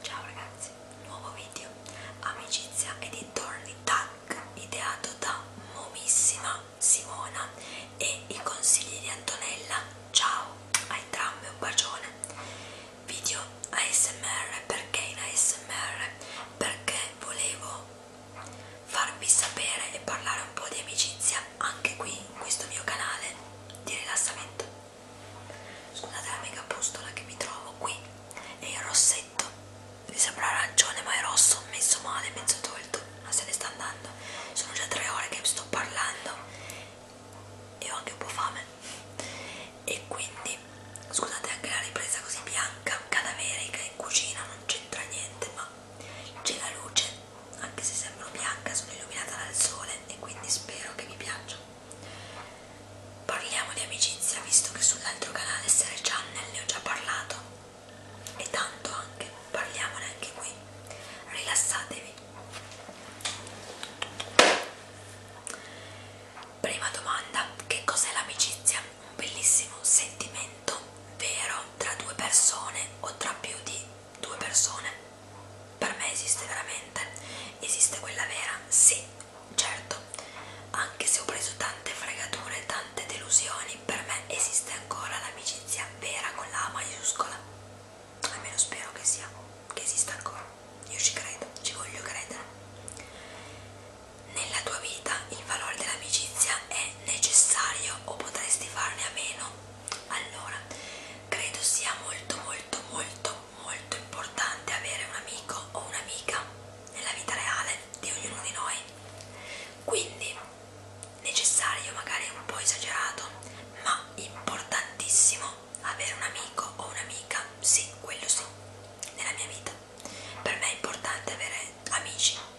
Ciao ragazzi, nuovo video Amicizia e dintorni tag ideato da momissima Simona e i consigli di Antonella. Ciao a entrambe, un bacione. Video ASMR perché in ASMR? Perché volevo farvi sapere e parlare un po' di amicizia anche qui in questo mio canale di rilassamento Scusate la mega pustola che mi trovo qui. È il rossetto. Mi sembra arancione, ma è rosso, messo male, mezzo tolto. Ma se ne sta andando. Sono già tre ore che sto parlando. E ho anche un po' fame. E quindi, scusate anche la ripresa così bianca, cadaverica in cucina, non c'entra niente, ma c'è la luce anche se sembro bianca sono illuminata dal sole e quindi spero che vi piaccia parliamo di amicizia visto che sull'altro canale Sere Channel ne ho già parlato e tanto anche parliamone anche qui rilassatevi prima domanda che cos'è l'amicizia? un bellissimo sentimento vero tra due persone o tra più di due persone per me esiste veramente esiste quella vera sì certo anche se ho preso tante fregature tante delusioni per me esiste ancora l'amicizia vera con la maiuscola almeno spero che sia che esista ancora io ci credo ci voglio credere nella tua vita il valore dell'amicizia è necessario o potresti farne a meno allora credo sia molto molto molto molto importante avere un amico o un'amica nella vita reale di ognuno di noi quindi necessario magari un po' esagerato ma importantissimo avere un amico o un'amica sì quello sì nella mia vita per me è importante avere amici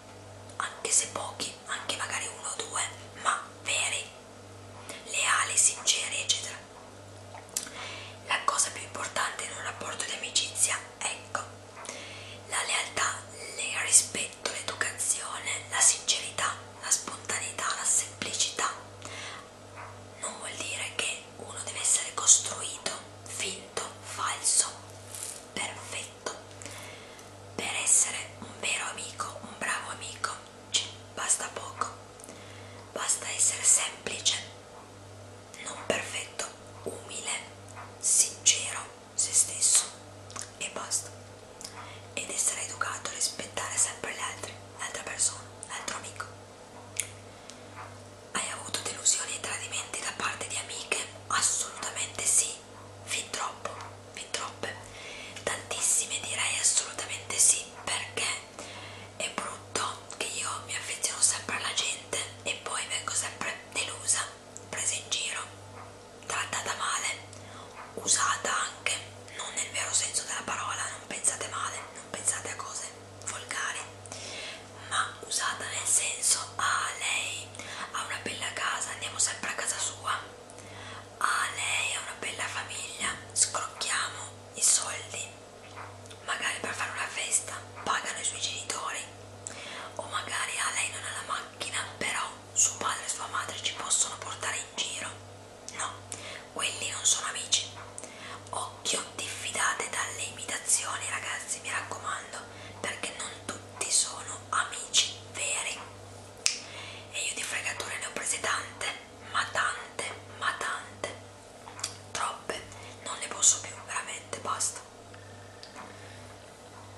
anche se pochi, anche magari uno o due, ma veri, leali, sinceri, eccetera. La cosa più importante in un rapporto di amicizia, ecco, la lealtà, il rispetto, l'educazione, la sincerità, la spontaneità, la semplicità. Non vuol dire che uno deve essere costruito, finto, falso, perfetto momento. Per essere un vero amico, un bravo amico, ci basta poco. Basta essere semplice, non perfetto, umile, sincero, se stesso e basta. Ed essere educato, rispettare sempre gli altri, l'altra persona, l'altro amico. Hai avuto delusioni e tradimenti da parte di amiche? Assolutamente sì fin troppo, fin troppe, tantissime direi assolutamente sì, perché è brutto che io mi affeziono sempre alla gente e poi vengo sempre delusa, presa in giro, trattata male, usata anche, non nel vero senso della parola, non pensate male, non pensate a cose volgari, ma usata nel senso a ah, lei lui ha una bella casa, andiamo sempre a casa sua. Ah, lei ha una bella famiglia, scrocchiamo i soldi, magari per fare una festa, pagano i suoi genitori. O magari ah, lei non ha la macchina, però suo padre e sua madre ci possono portare in giro. No, quelli non sono amici. Occhio, diffidate dalle imitazioni, ragazzi, mi raccomando, perché non tutti tutti sono amici veri e io di fregature ne ho prese tante, ma tante, ma tante, troppe, non ne posso più, veramente, basta.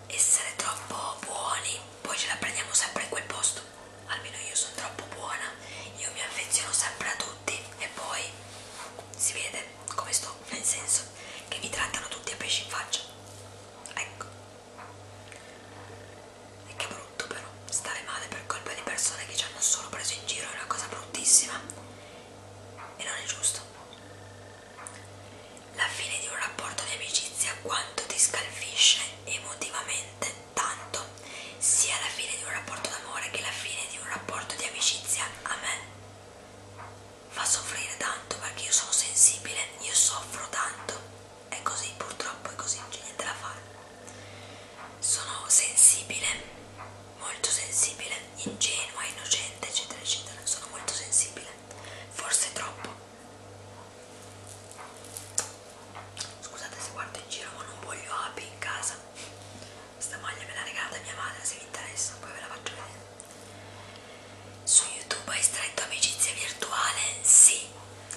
Essere troppo buoni, poi ce la prendiamo sempre in quel posto, almeno io sono troppo buona, io mi affeziono sempre a tutti e poi si vede come sto riso, nel senso che mi trattano tutti a pesci in faccia. Ecco. E che brutto però, stare male per colpa di persone che ci hanno solo preso in giro è una cosa bruttissima. E non è giusto. La fine di un rapporto di amicizia quanto ti scalfisce emotivamente tanto, sia la fine di un rapporto d'amore che la fine di un rapporto di amicizia a me fa soffrire tanto perché io sono sensibile, io soffro tanto, è così purtroppo, è così, non c'è niente da fare. Sono sensibile, molto sensibile, ingenua, innocente, eccetera, eccetera, sono molto sensibile, forse troppo. Scusate se guardo in giro ma non voglio api in casa Sta maglia me l'ha regalata mia madre, se vi interessa, poi ve la faccio vedere. Su YouTube hai stretto amicizia virtuale? Sì,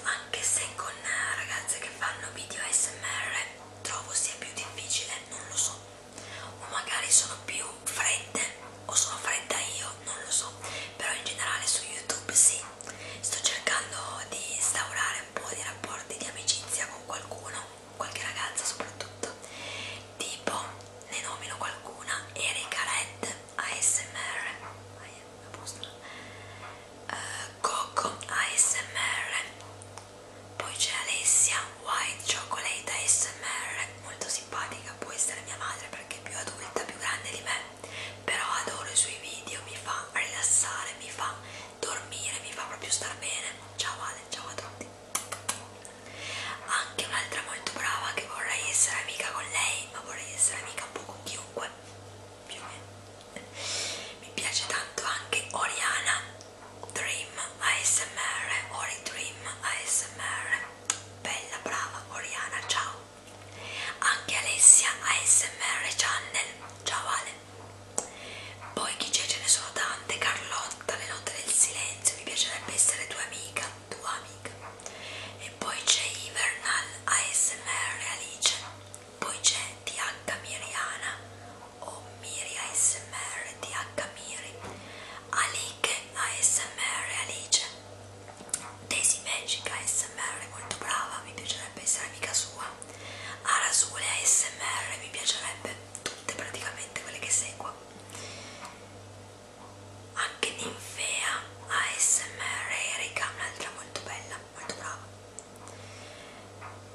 anche se con eh, ragazze che fanno video ASMR trovo sia più difficile, non lo so. O magari sono più fredde, o sono fredda io, non lo so. Però in generale su YouTube sì, sto cercando di instaurare un po' di rapporti di amicizia con qualcuno qualche ragazza soprattutto tipo ne nomino qualcuna Erika Red ASMR uh, eh, Coco ASMR poi c'è Alessia White Chocolate ASMR molto simpatica può essere mia madre perché è più adulta più grande di me però adoro i suoi video mi fa rilassare mi fa dormire mi fa proprio star bene ciao Ale, ciao a tutti anche un'altra molto brava che vorrei essere amica con lei ma vorrei essere amica un po' con chiunque più o meno mi piace tanto anche Oriana Dream ASMR Ori Dream ASMR bella brava Oriana ciao anche Alessia ASMR Channel ciao Ale poi chi c'è ce ne sono tante, Carlotta, le note del silenzio, mi piacerebbe essere tua amica, tua amica. E poi c'è Ivernal, ASMR Alice, poi c'è TH Miriana o Miri ASMR, TH Miri, Aliche ASMR Alice, Daisy Magic ASMR, molto brava, mi piacerebbe essere amica sua. Arasule ASMR mi piacerebbe tutte praticamente quelle che seguo anche Ninfea ASMR Erika un'altra molto bella molto brava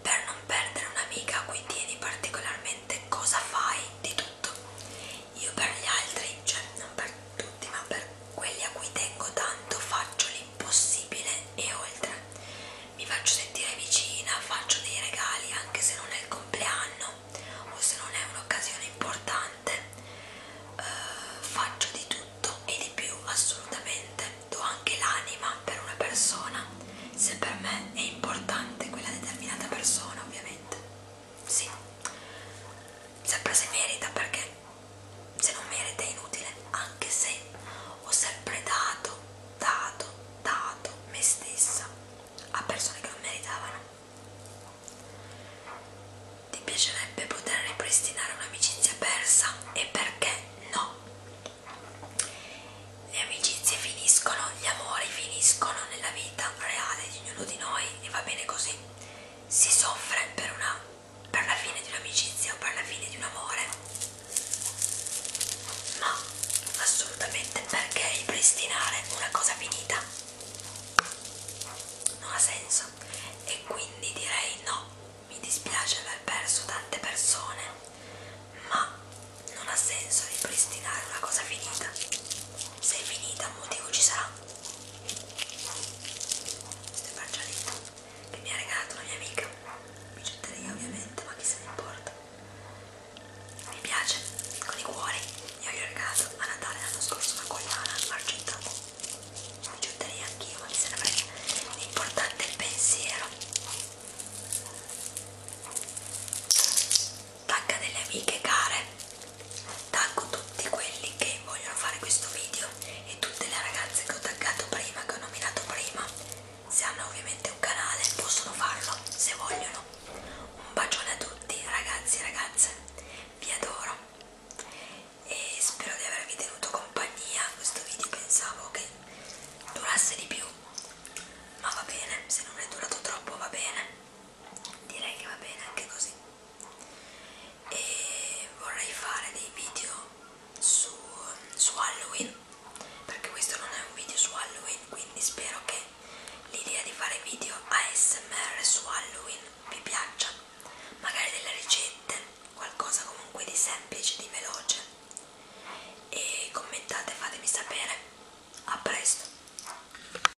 per non perdere un'amica a cui tieni particolarmente cosa fai di tutto io per gli altri cioè non per tutti ma per quelli a cui tengo tanto faccio impossibile e oltre. Mi faccio sentire vicina, faccio dei regali anche se non è il compleanno o se non è un'occasione importante. Eh, faccio di tutto e di più assolutamente. Do anche l'anima per una persona, se per me è importante quella determinata persona, ovviamente. Sì, sempre se merita perché se non merita è inutile, anche se ho sempre dato, dato, dato me stessa a persone che non meritavano. Ti piacerebbe poter ripristinare un'amicizia persa e perché no? Le amicizie finiscono, gli amori finiscono nella vita reale di ognuno di noi e va bene così. Si soffre per una per la fine di un'amicizia o per la fine di un amore, ma assolutamente perché ripristinare una cosa finita non ha senso e quindi direi no, mi dispiace aver perso tante persone, ma non ha senso ripristinare una cosa finita. Se è finita un motivo ci sarà queste pancialette che mi ha regalato una mia amica bicetteria ovviamente ma chi se ne importa mi piace con i cuori io gli ho regalato a Natale l'anno scorso una collana argentata bicetteria anch'io ma mi se ne frega l'importante è il pensiero tacca delle amiche care taggo tutti quelli che vogliono fare questo video e tutte le ragazze che ho taggato prima, che ho nominato prima, se hanno ovviamente un canale possono farlo se vogliono. Un bacione a tutti ragazzi e ragazze, vi adoro e spero di avervi tenuto compagnia. Questo video pensavo che durasse di più, ma va bene, se non è durato troppo va bene, direi che va bene anche così e vorrei fare dei video su, su Halloween perché questo non è un video su Halloween quindi spero che l'idea di fare video ASMR su Halloween vi piaccia magari delle ricette qualcosa comunque di semplice di veloce e commentate fatemi sapere a presto